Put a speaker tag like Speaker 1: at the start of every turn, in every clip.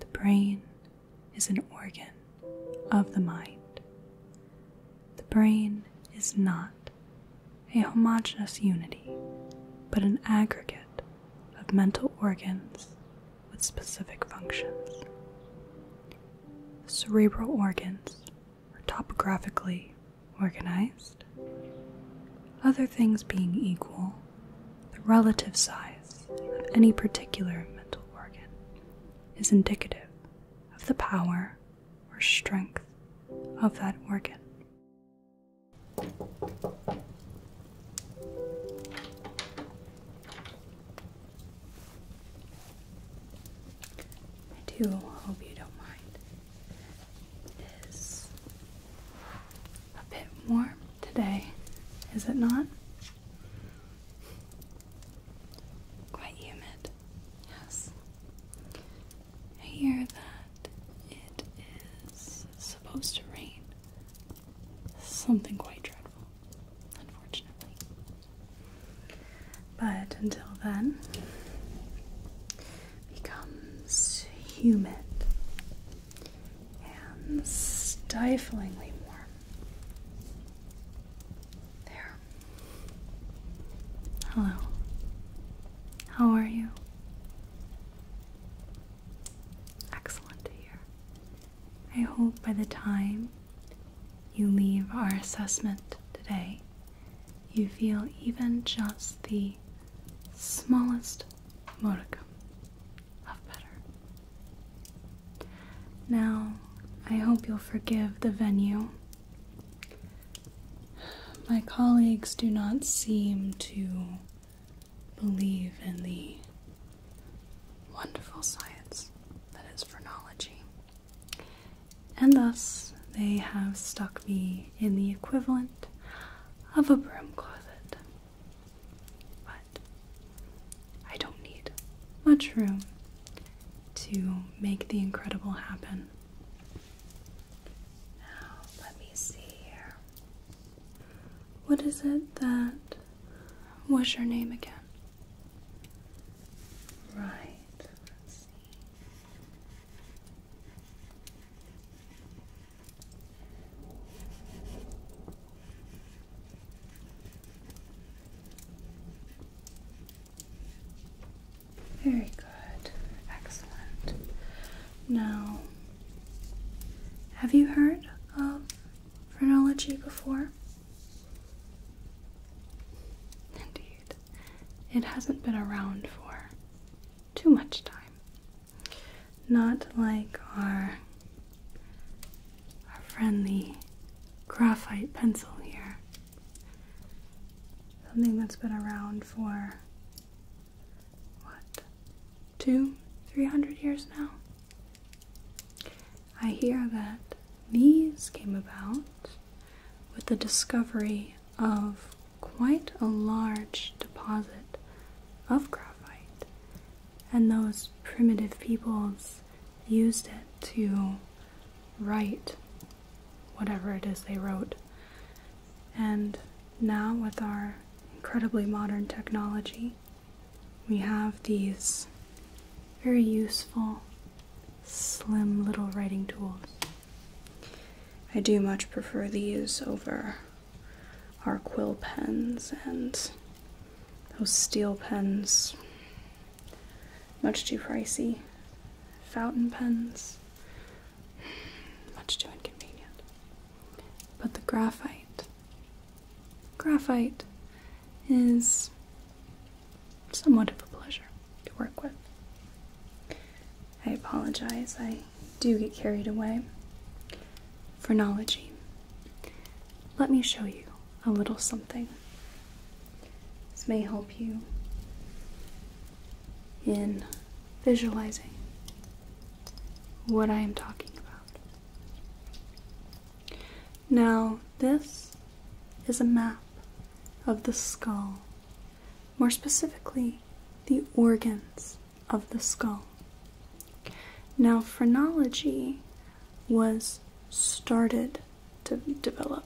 Speaker 1: The brain is an organ of the mind. The brain is not a homogeneous unity, but an aggregate of mental organs with specific functions. The cerebral organs are topographically organized. Other things being equal, the relative size of any particular mental organ is indicative of the power or strength of that organ. I do hope you don't mind. It is a bit warm today, is it not? Quite humid, yes. I hear that it is supposed to rain. Something quite dreadful unfortunately. But until then, becomes humid and stiflingly warm. There. Hello. How are you? Excellent to hear. I hope by the time you leave our assessment today, you feel even just the smallest modicum of better. Now, I hope you'll forgive the venue. My colleagues do not seem to believe in the wonderful science that is phrenology. And thus, they have stuck me in the equivalent of a broom closet. But I don't need much room to make the incredible happen. Now, let me see here. What is it that was your name again? Right, Very good, excellent. Now, have you heard of phrenology before? Indeed, it hasn't been around for too much time. Not like our, our friendly graphite pencil here. Something that's been around for what, two, three hundred years now? I hear that these came about with the discovery of quite a large deposit of graphite, and those primitive peoples used it to write whatever it is they wrote. And now, with our incredibly modern technology, we have these very useful, slim little writing tools. I do much prefer these over our quill pens and those steel pens. Much too pricey. Fountain pens. Much too inconvenient. But the graphite. Graphite is somewhat of a pleasure to work with. I apologize, I do get carried away. Phrenology. Let me show you a little something. This may help you in visualizing what I am talking about. Now, this is a map of the skull, more specifically, the organs of the skull. Now, phrenology was started to develop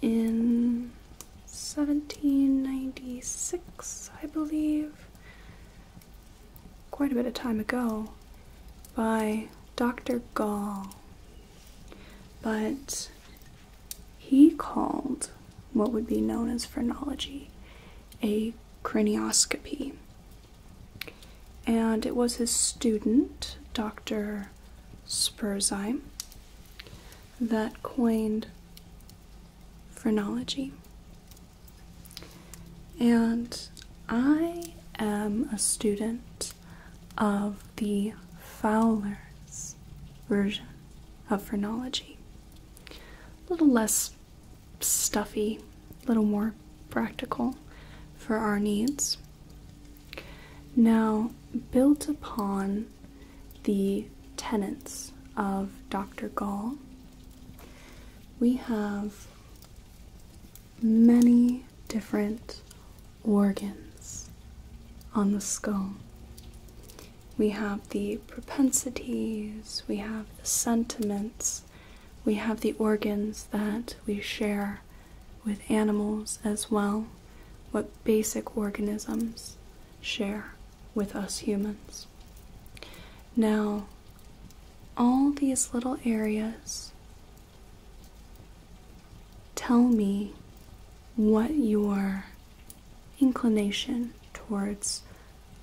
Speaker 1: in 1796, I believe quite a bit of time ago by Dr. Gall. But he called what would be known as phrenology a cranioscopy. And it was his student, Dr. Spurzheim, that coined phrenology. And I am a student of the Fowler's version of phrenology. A little less stuffy, a little more practical for our needs. Now, built upon the tenets of Dr. Gall, we have many different organs on the skull. We have the propensities, we have the sentiments, we have the organs that we share with animals as well, what basic organisms share with us humans. Now, all these little areas tell me what your inclination towards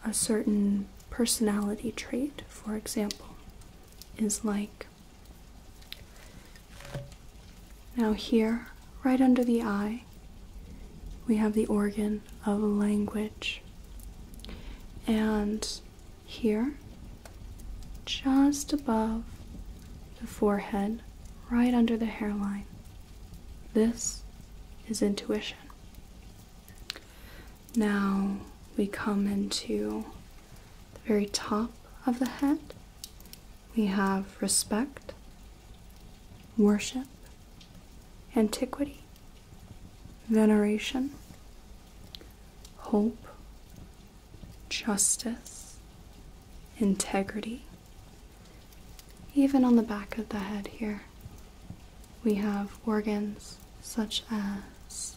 Speaker 1: a certain personality trait, for example, is like. Now, here, right under the eye, we have the organ of language. And here, just above the forehead, right under the hairline. This is intuition. Now we come into the very top of the head. We have respect, worship, antiquity, veneration, hope, justice, integrity. Even on the back of the head here, we have organs such as,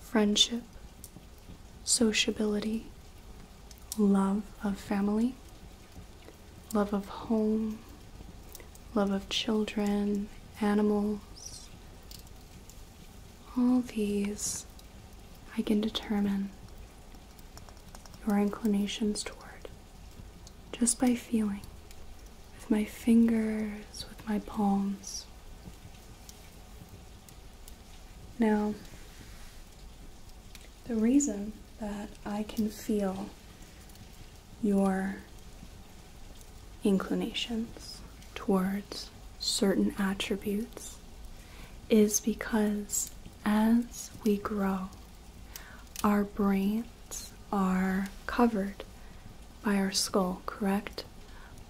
Speaker 1: friendship, sociability, love of family, love of home, love of children, animals, all these I can determine your inclinations toward just by feeling with my fingers, with my palms. Now, the reason that I can feel your inclinations towards certain attributes is because as we grow, our brains are covered by our skull, correct?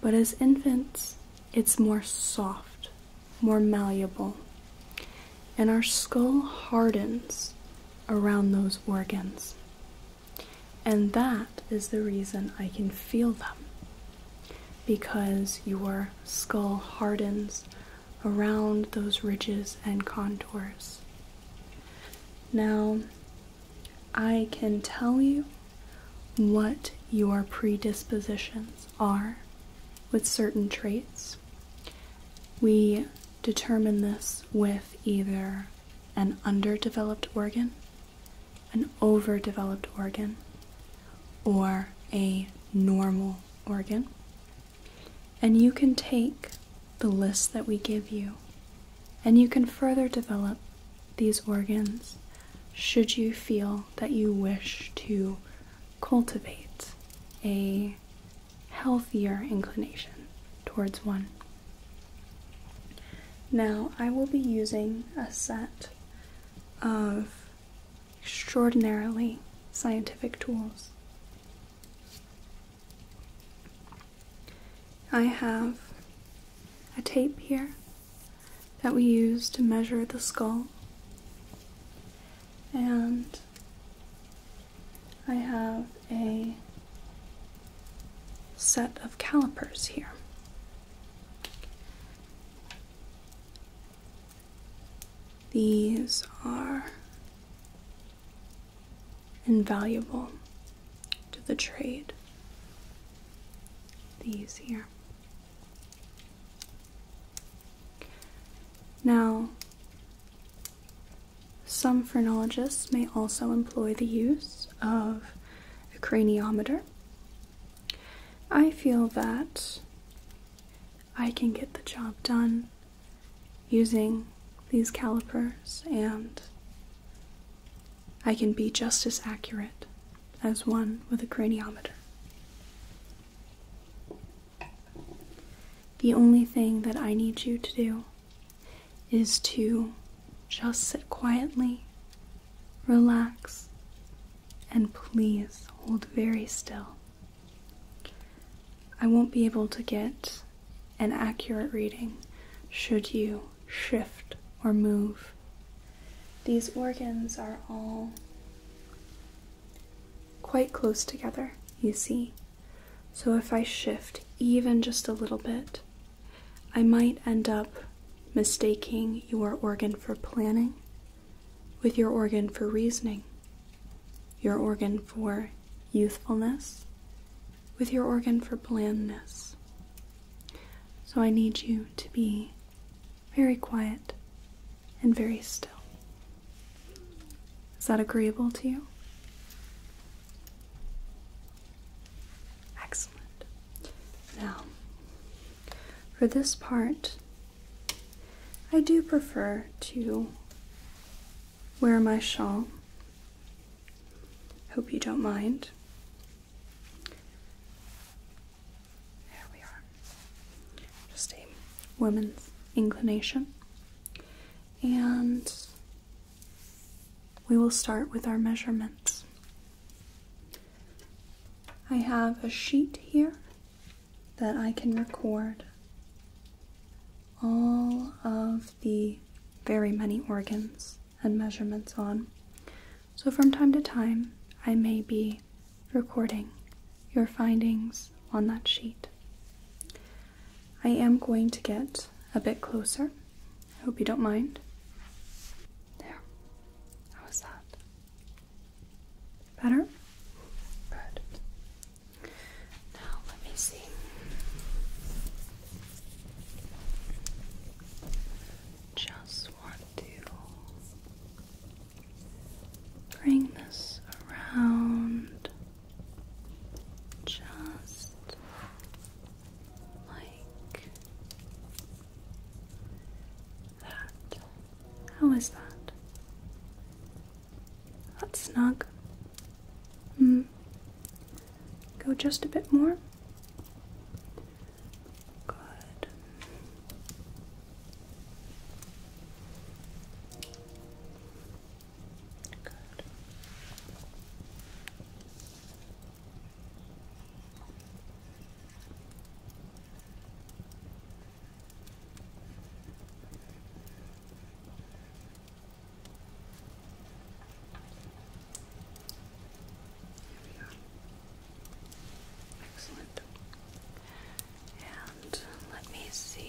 Speaker 1: But as infants, it's more soft, more malleable, and our skull hardens around those organs. And that is the reason I can feel them. Because your skull hardens around those ridges and contours. Now, I can tell you what your predispositions are with certain traits. We determine this with either an underdeveloped organ, an overdeveloped organ, or a normal organ. And you can take the list that we give you and you can further develop these organs should you feel that you wish to cultivate a healthier inclination towards one. Now, I will be using a set of extraordinarily scientific tools. I have a tape here that we use to measure the skull, and I have a set of calipers here. These are invaluable to the trade. These here. Now, some phrenologists may also employ the use of a craniometer. I feel that I can get the job done using these calipers and I can be just as accurate as one with a craniometer. The only thing that I need you to do is to just sit quietly, relax, and please hold very still. I won't be able to get an accurate reading should you shift or move. These organs are all quite close together, you see. So if I shift even just a little bit, I might end up mistaking your organ for planning with your organ for reasoning, your organ for youthfulness with your organ for blandness. So I need you to be very quiet and very still. Is that agreeable to you? Excellent. Now, for this part, I do prefer to wear my shawl. Hope you don't mind. There we are. Just a woman's inclination. And we will start with our measurements. I have a sheet here that I can record all of the very many organs and measurements on. So from time to time, I may be recording your findings on that sheet. I am going to get a bit closer. I hope you don't mind. There. How was that? Better? Good. Now let me see. Just want to bring this around just like that. How is that? That's snug. Mm. Go just a bit more. Good. Good. Excellent. And let me see.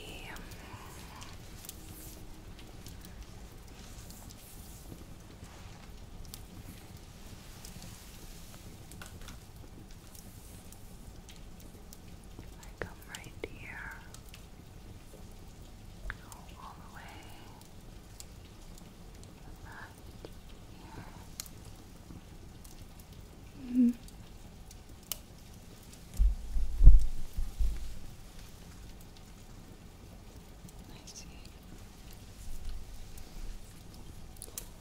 Speaker 1: I come right here, go all the way here. -hmm.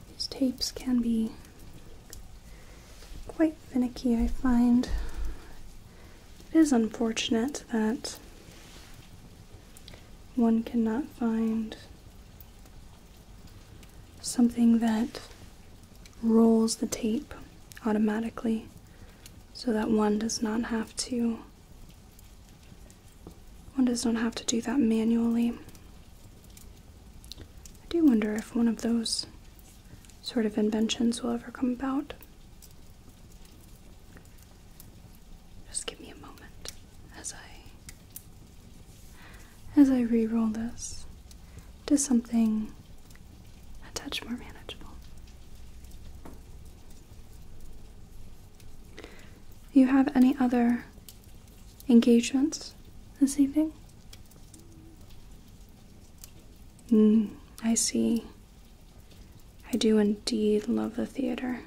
Speaker 1: These tapes can be quite finicky, I find. It is unfortunate that one cannot find something that rolls the tape automatically so that one does not have to one does not have to do that manually. I do wonder if one of those sort of inventions will ever come about. Just give me a moment as I as I re-roll this Does something a touch more manageable. you have any other engagements this evening? Hmm. I see. I do indeed love the theater.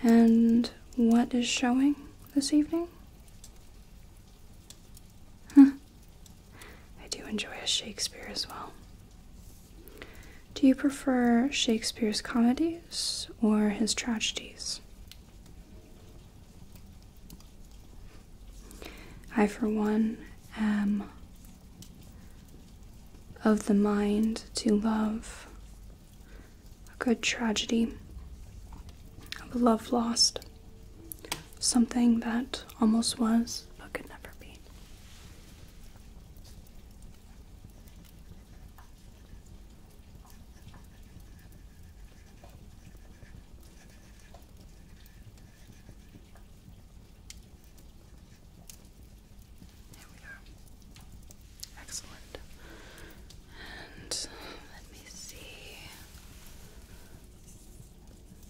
Speaker 1: And what is showing this evening? Huh. I do enjoy a Shakespeare as well. Do you prefer Shakespeare's comedies or his tragedies? I, for one, am of the mind to love a good tragedy of love lost, something that almost was but could never be. Okay. There we are. Excellent. And let me see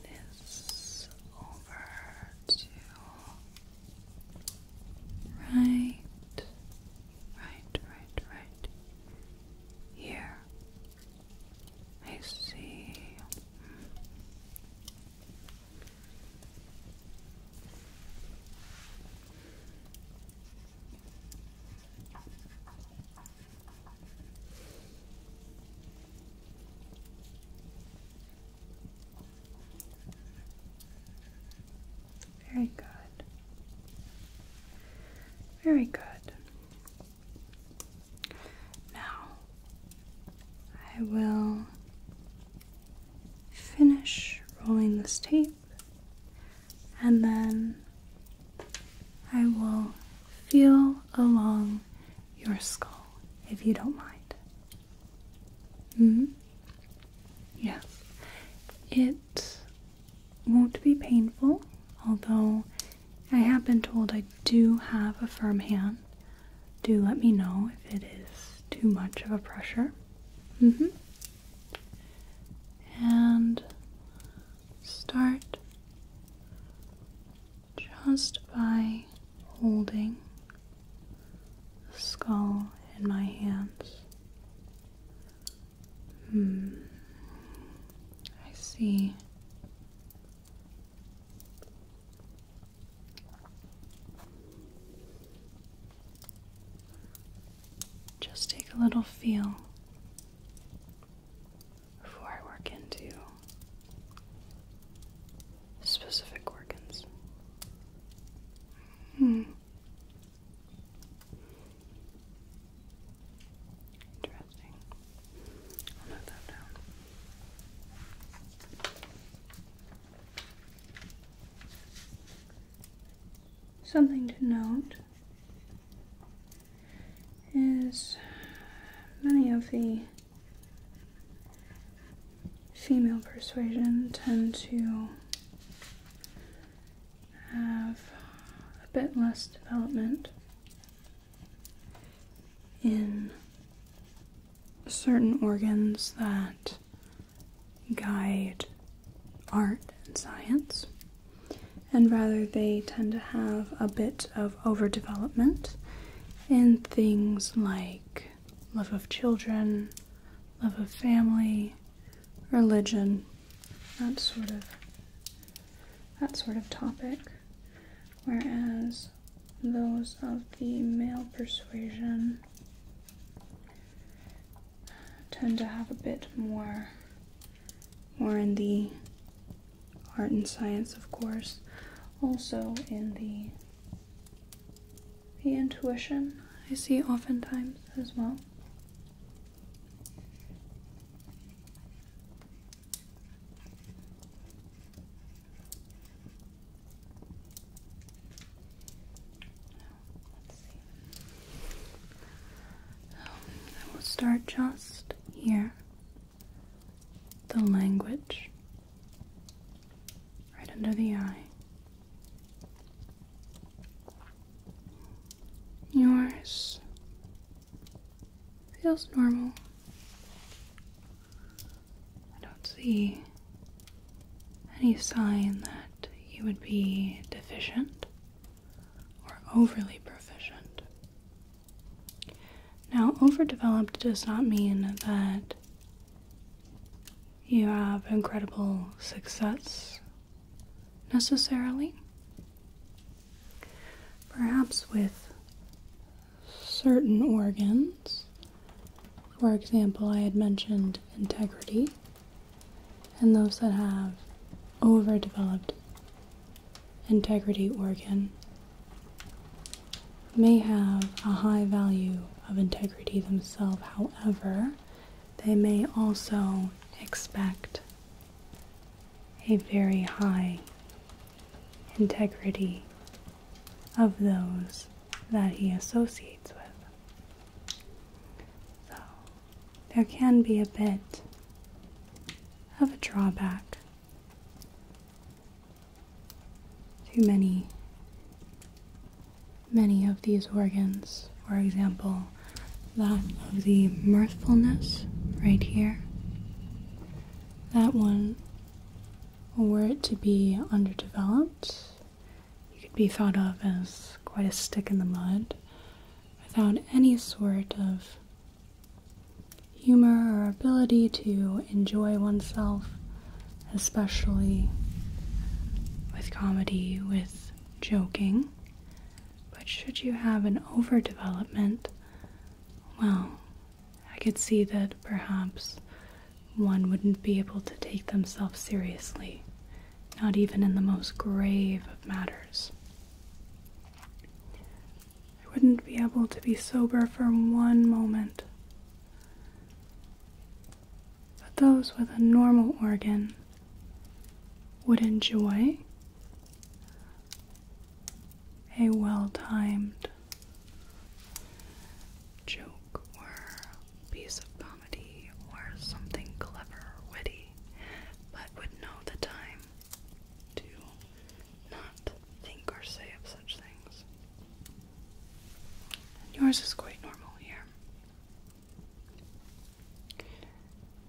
Speaker 1: this over to right, right, right, right here. I see. Very good. Very good. Now I will finish rolling this tape and then I will feel along your skull, if you don't mind. Mm Yes. It won't be painful, although I have been told I do have a firm hand. Do let me know if it is too much of a pressure. Mm hmm. And start just by holding a skull in my hands. Hmm. I see. Just take a little feel before I work into specific organs. Hmm. Interesting. I'll note that down. Something to note is many of the female persuasion tend to have a bit less development in certain organs that guide art and science, and rather they tend to have a bit of overdevelopment in things like love of children, love of family, religion, that sort of that sort of topic. Whereas those of the male persuasion tend to have a bit more more in the art and science, of course, also in the the intuition I see oftentimes as well. Let's see. Um, I will start just here the language right under the eye. Yours feels normal. I don't see any sign that you would be deficient or overly proficient. Now, overdeveloped does not mean that you have incredible success necessarily. Perhaps with certain organs, for example, I had mentioned integrity, and those that have overdeveloped integrity organ may have a high value of integrity themselves, however, they may also expect a very high integrity of those that he associates with. So, there can be a bit of a drawback too many, many of these organs. For example, that of the mirthfulness right here. That one, were it to be underdeveloped, could be thought of as quite a stick in the mud without any sort of humor or ability to enjoy oneself, especially with comedy, with joking. But should you have an overdevelopment, well, I could see that perhaps one wouldn't be able to take themselves seriously, not even in the most grave of matters. I wouldn't be able to be sober for one moment. But those with a normal organ would enjoy a well timed joke or piece of comedy or something clever, witty, but would know the time to not think or say of such things. yours is quite normal here.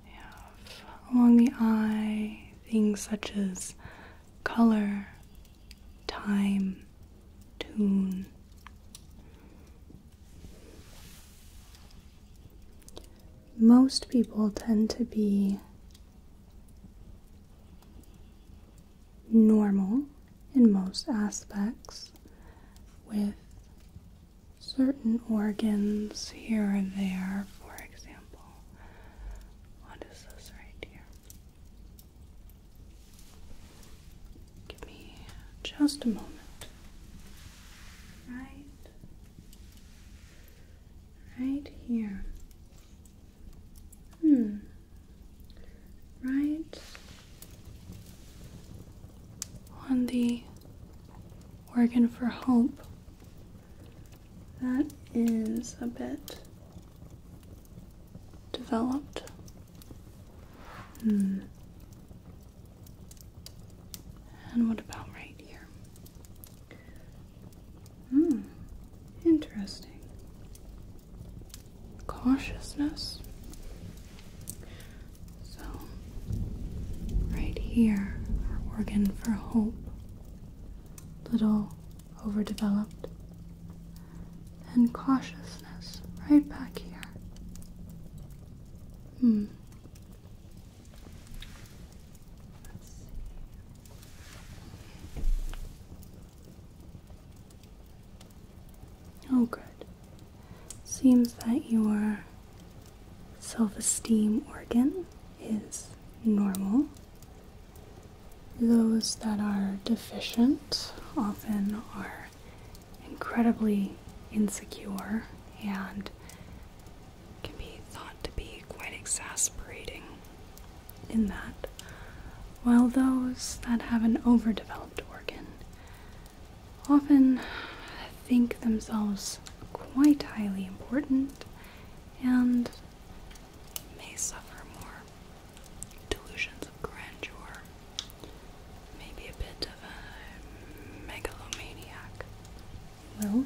Speaker 1: We have along the eye things such as color, time, tune. Most people tend to be normal in most aspects, with certain organs here and there, for example. What is this right here? Give me just a moment. Right, right here. Hmm. Right on the organ for hope. That is a bit developed. Hmm. And what about right here? Hmm. Interesting. Cautiousness. So, right here, our organ for hope. Little overdeveloped. And cautiousness, right back here. Hmm. Let's see. Oh, good. Seems that your self esteem organ is normal. Those that are deficient often are incredibly insecure and can be thought to be quite exasperating in that, while those that have an overdeveloped organ often think themselves quite highly important and may suffer more delusions of grandeur, maybe a bit of a megalomaniac. Well,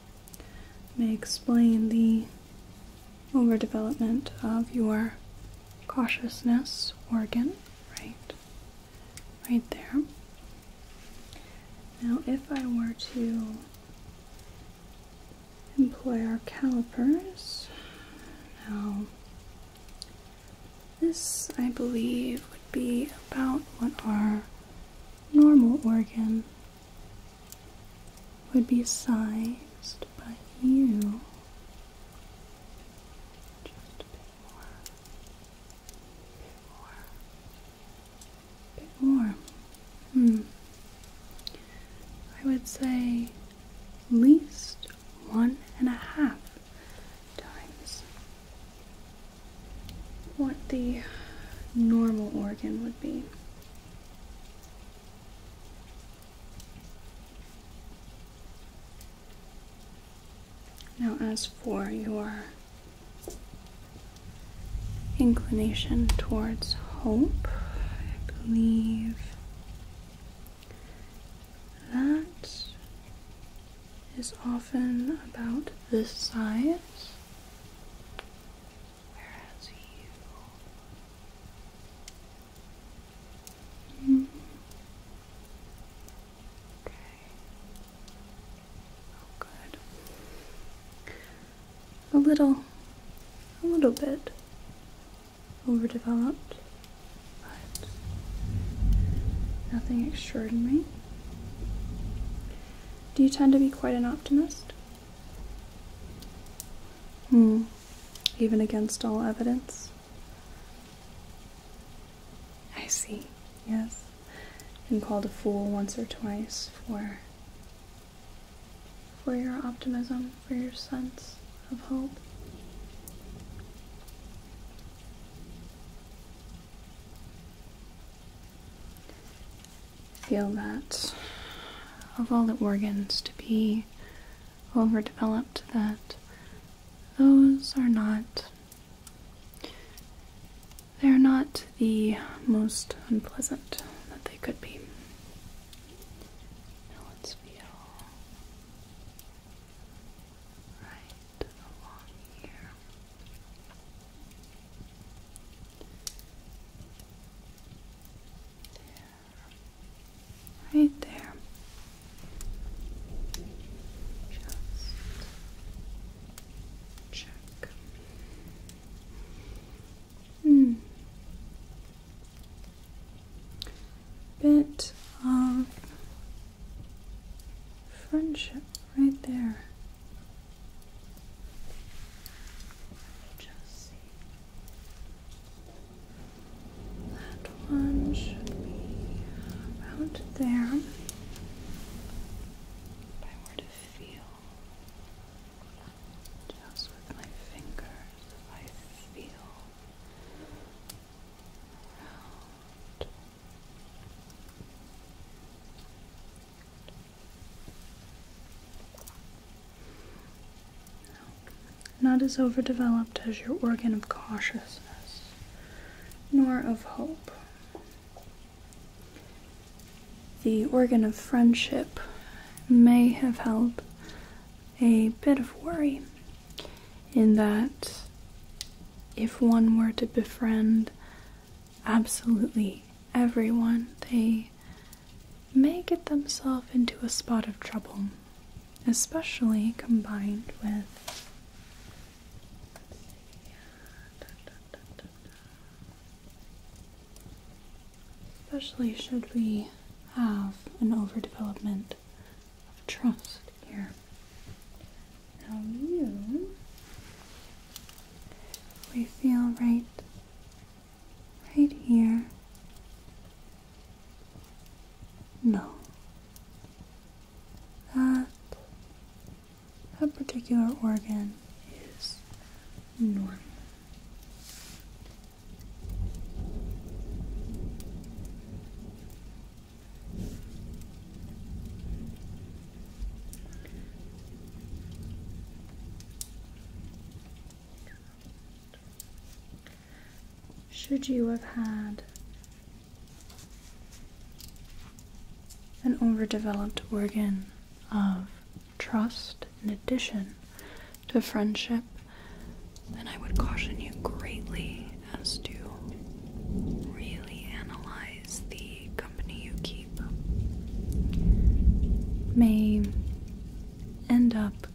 Speaker 1: may explain the overdevelopment of your cautiousness organ, right? Right there. Now, if I were to employ our calipers, now this I believe would be about what our normal organ would be sized by you just a bit bit more. Hmm. I would say least one and a half times what the normal organ would be. Now, as for your inclination towards hope, I believe that is often about this size. Whereas you. Okay. Oh, good. A little, a little bit overdeveloped, but nothing extraordinary. Do you tend to be quite an optimist? Hmm. Even against all evidence? I see, yes. Been called a fool once or twice for for your optimism, for your sense of hope feel that of all the organs to be overdeveloped that those are not they're not the most unpleasant that they could be. let's feel right along here. Right there. Just check. Hmm. Bit of friendship right there. Just see. That one should be around there. If I to feel just with my fingers, I feel around not as overdeveloped as your organ of cautiousness, nor of hope. The organ of friendship may have held a bit of worry in that if one were to befriend absolutely everyone, they may get themselves into a spot of trouble, especially combined with. Especially should we have an overdevelopment of trust here. Now you, we feel right, right here. No, that that particular organ is normal. Should you have had an overdeveloped organ of trust in addition to friendship, then I would caution you greatly as to really analyze the the company you keep may end up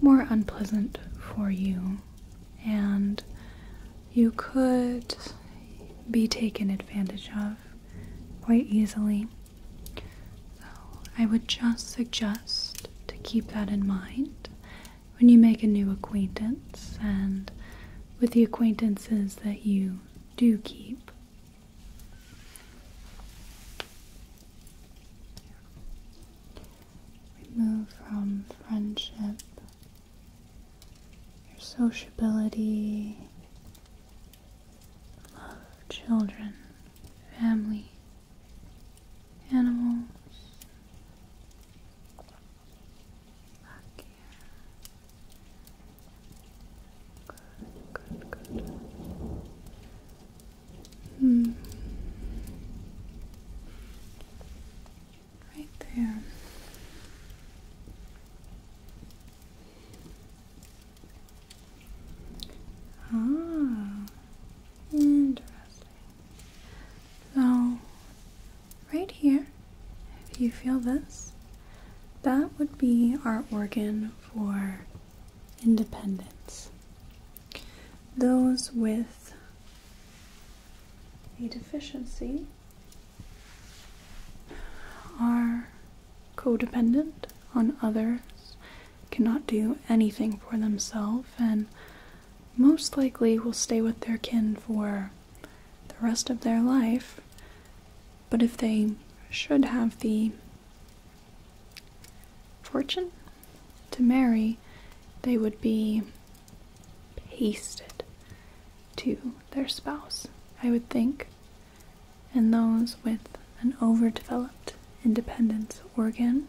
Speaker 1: more unpleasant for you, and you could be taken advantage of quite easily. So, I would just suggest to keep that in mind when you make a new acquaintance and with the acquaintances that you do keep. Remove from friendship your sociability, love, children, family, animals, Back Right there. Ah, interesting. So right here, if you feel this, that would be our organ for independence. Those with a deficiency are codependent on others, cannot do anything for themselves, and most likely will stay with their kin for the rest of their life. But if they should have the fortune to marry, they would be pasted to their spouse, I would think. And those with an overdeveloped independence organ,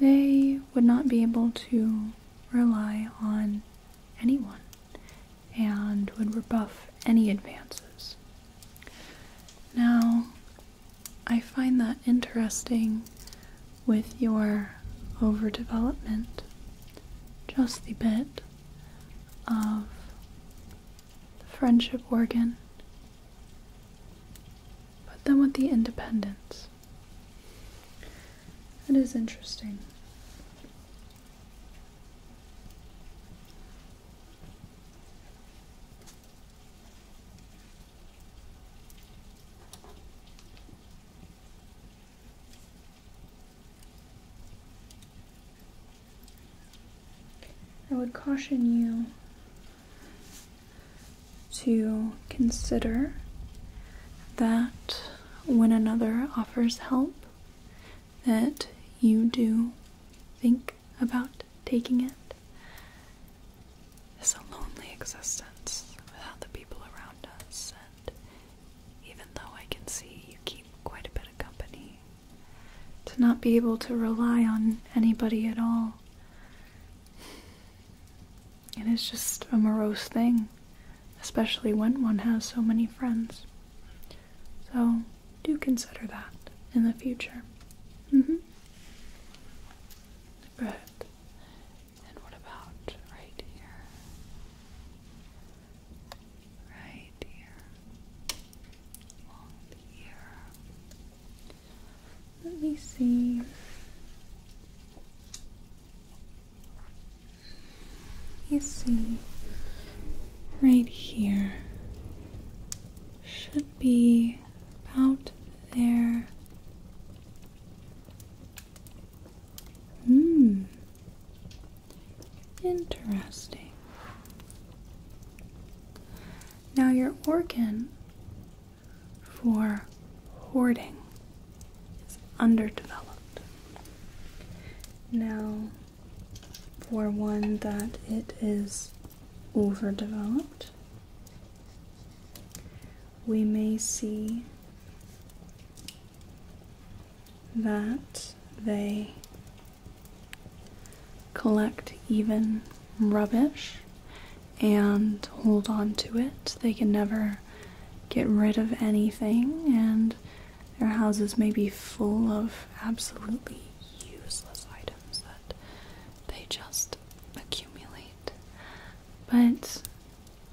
Speaker 1: they would not be able to rely on anyone and would rebuff any advances. Now, I find that interesting with your overdevelopment, just the bit of the friendship organ, but then with the independence. It is interesting. I would caution you to consider that when another offers help, that you do think about taking it. it is a lonely existence without the people around us, and even though I can see you keep quite a bit of company, to not be able to rely on anybody at all. It is just a morose thing especially when one has so many friends. So do consider that in the future. mm And what about right here? Right here. here. Let me see. You see, right here should be about there. Hmm. Interesting. Now, your organ for hoarding is underdeveloped. Now, for one that it is overdeveloped, we may see that they collect even rubbish and hold on to it. They can never get rid of anything, and their houses may be full of absolutely useless items that they just accumulate. But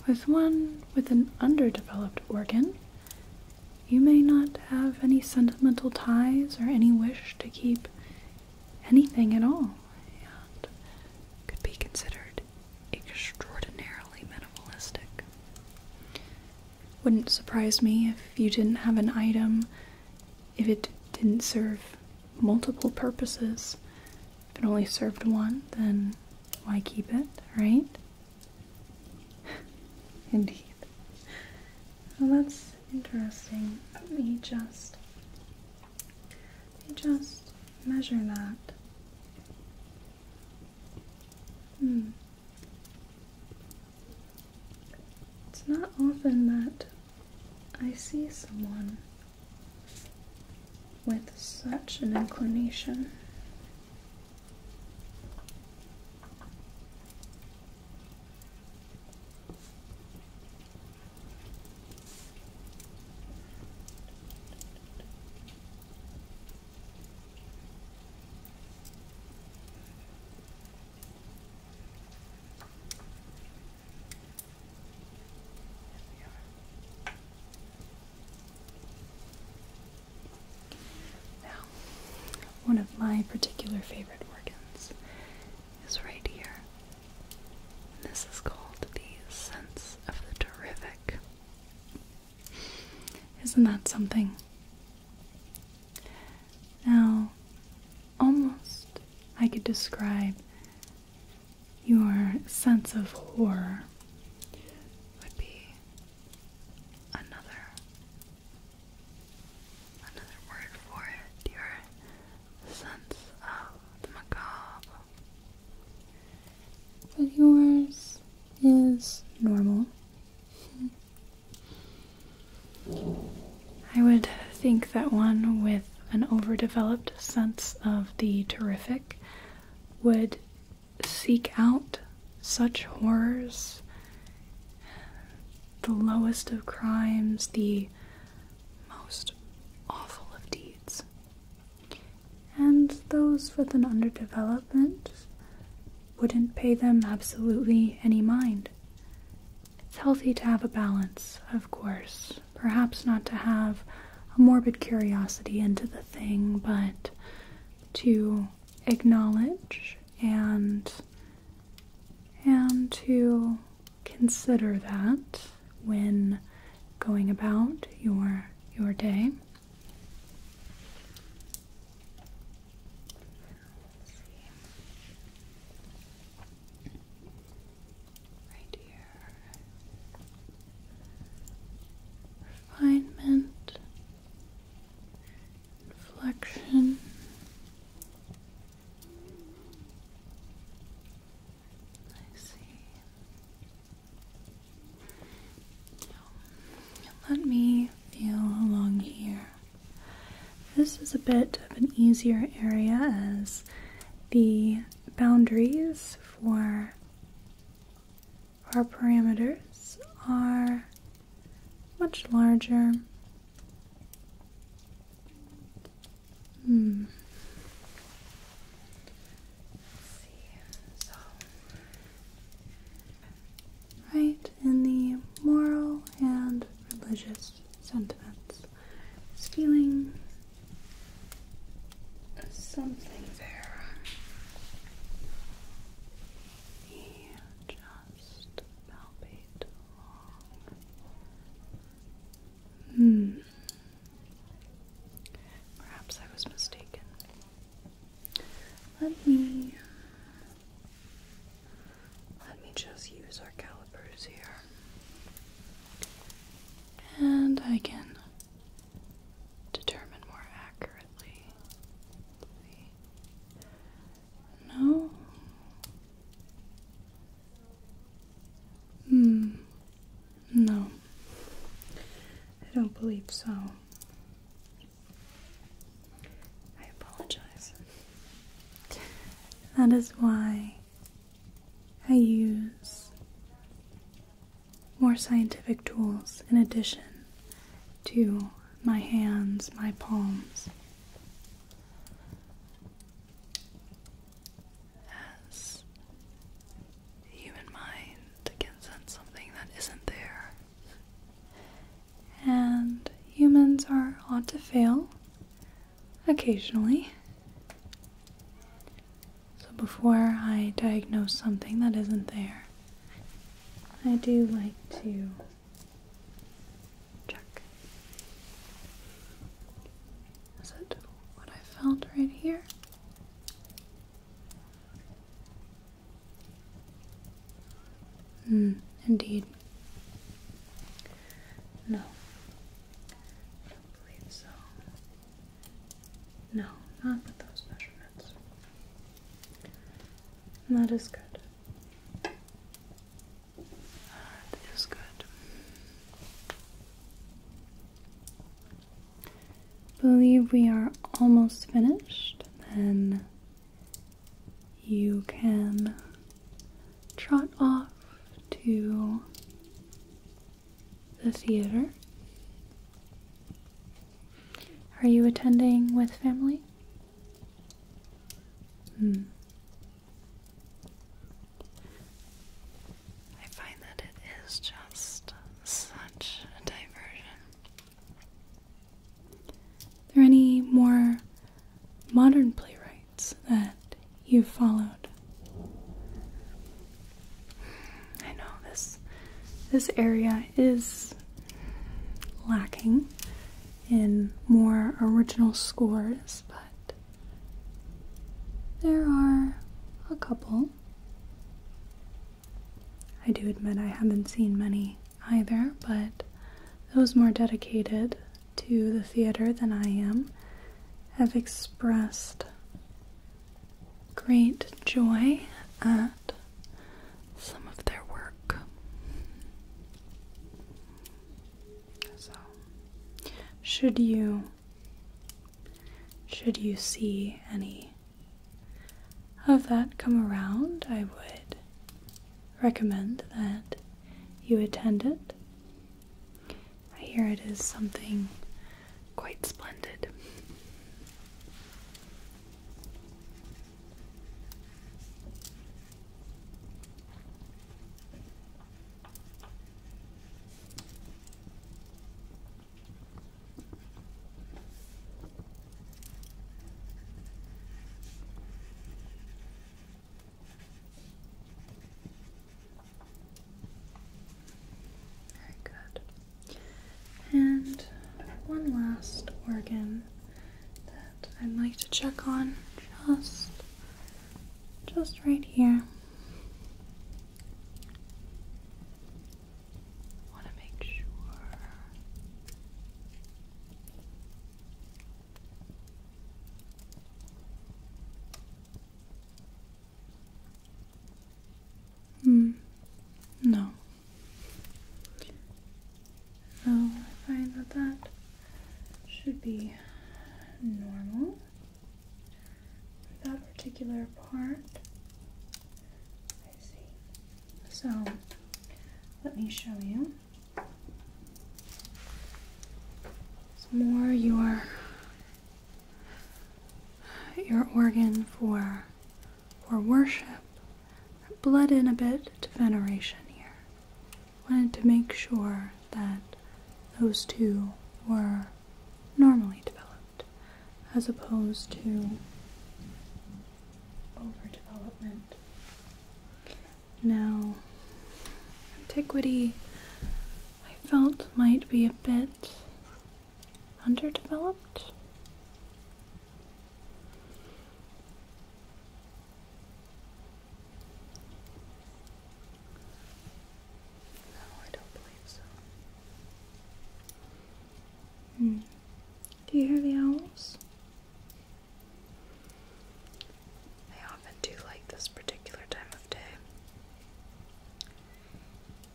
Speaker 1: with one with an underdeveloped organ, you may not have any sentimental ties or any wish to keep anything at all, and could be considered extraordinarily minimalistic. Wouldn't surprise me if you didn't have an item, if it didn't serve multiple purposes. If it only served one, then why keep it, right? Indeed. Well, that's interesting. Let me just. Let me just measure that. Hmm. It's not often that I see someone with such an inclination. Now, one of my particular favorite organs is right here. This is called the sense of the terrific. Isn't that something? Now, almost I could describe your sense of horror would be another another word for it, your sense of the macabre but yours is normal. I would think that one with an overdeveloped sense of the terrific would seek out such horrors, the lowest of crimes, the most awful of deeds and those with an underdevelopment wouldn't pay them absolutely any mind. It's healthy to have a balance, of course. Perhaps not to have a morbid curiosity into the thing, but to acknowledge and and to consider that when going about your your day. Right here. Refinement, inflection. I see. Let me feel along here. This is a bit of an easier area as the boundaries for our parameters are much larger. Hmm right in the moral and religious sentiments. It's feeling something there. He just palpate hmm. Perhaps I was mistaken. Let me let me just use our calipers here. And I can determine more accurately. No. Hmm. No. I don't believe so. I apologize. That is why I use more scientific tools in addition to my hands, my palms. As the human mind can sense something that isn't there. And humans are ought to fail occasionally. So before I diagnose something that isn't there, I do like to check. Is that what I found right here? Mm, indeed. No. don't believe so. No, not with those measurements. That is good. That is good believe we are almost finished, then you can trot off to the theater. Are you attending with family? Hmm. I find that it is just such a diversion. Are any more modern playwrights that you've followed? I know this this area is lacking in more original scores, but there are a couple I do admit I haven't seen many either, but those more dedicated to the theater than I am have expressed great joy at some of their work. So, should you should you see any of that come around, I would recommend that you attend it. I hear it is something quite splendid. Very good. And one last organ that I'd like to check on just just right here want to make sure Hmm. No. No, I find that that should be normal that particular part. I see. So let me show you. more your your organ for for worship. Bled in a bit to veneration here. Wanted to make sure that those two were normally developed as opposed to overdevelopment. Now, antiquity I felt might be a bit underdeveloped. No, I don't believe so. Hmm. Do you hear the owls? I often do like this particular time of day.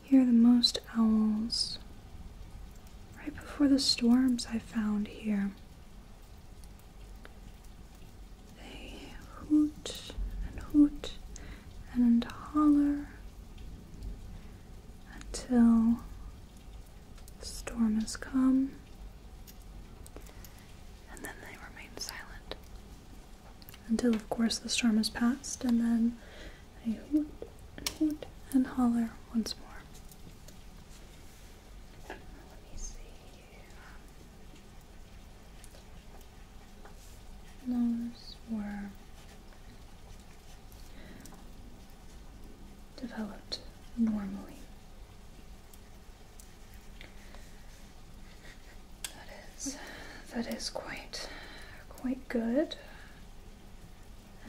Speaker 1: Hear the most owls right before the storms I found here. They hoot and hoot and holler until the storm has come, and then they remain silent until, of course, the storm has passed, and then they hoot and hoot and holler once more. Let me see. Those were developed normally. That is that is quite quite good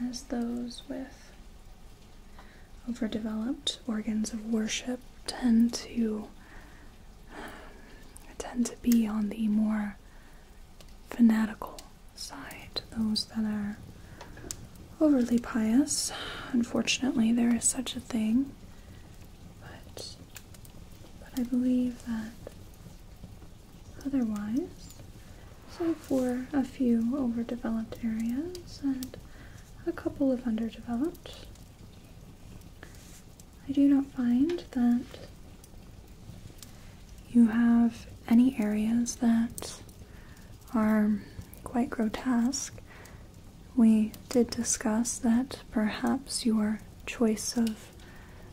Speaker 1: as those with overdeveloped organs of worship tend to tend to be on the more fanatical side, those that are overly pious. Unfortunately, there is such a thing. But, but I believe that otherwise, so for a few overdeveloped areas and a couple of underdeveloped, I do not find that you have any areas that are quite grotesque. We did discuss that perhaps your choice of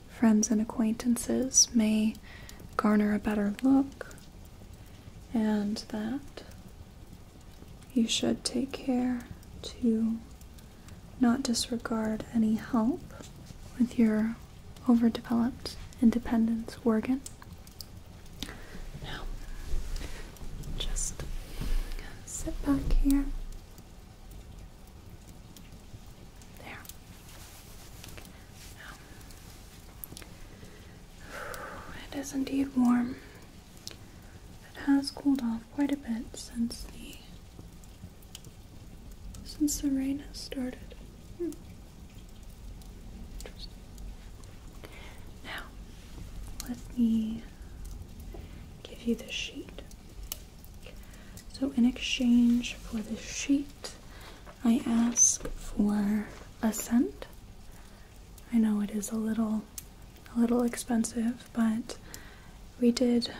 Speaker 1: friends and acquaintances may garner a better look, and that you should take care to not disregard any help with your overdeveloped independence organ. Now, just sit back here. There. Now, it is indeed warm. It has cooled off quite a bit since the since the rain has started. Now, let me give you the sheet. So, in exchange for the sheet, I ask for a cent. I know it is a little, a little expensive, but we did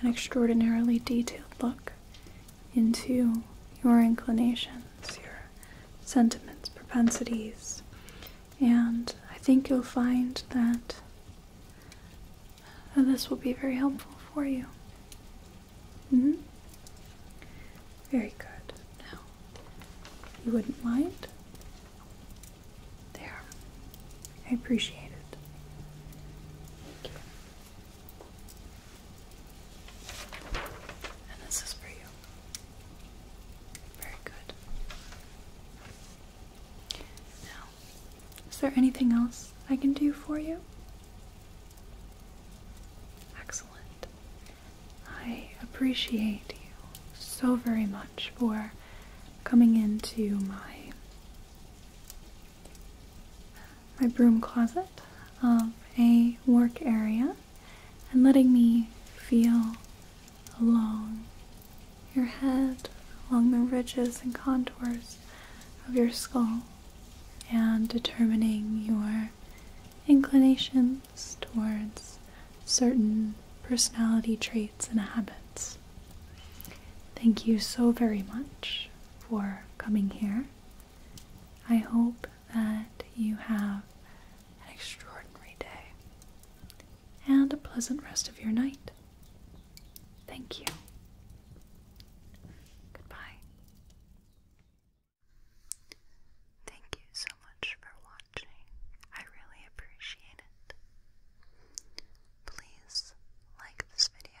Speaker 1: an extraordinarily detailed look into your inclinations, your sentiments, propensities, and I think you'll find that this will be very helpful for you. Mm-hmm. Very good. Now, you wouldn't mind? There. I appreciate it. And this is for you. Very good. Now, is there anything else I can do for you? Excellent. I appreciate you so very much for coming into my my broom closet of a work area and letting me feel along your head, along the ridges and contours of your skull, and determining your inclinations towards certain personality traits and habits. Thank you so very much for coming here. I hope that you have an extraordinary day and a pleasant rest of your night. Thank you. Goodbye. Thank you so much for watching. I really appreciate it. Please like this video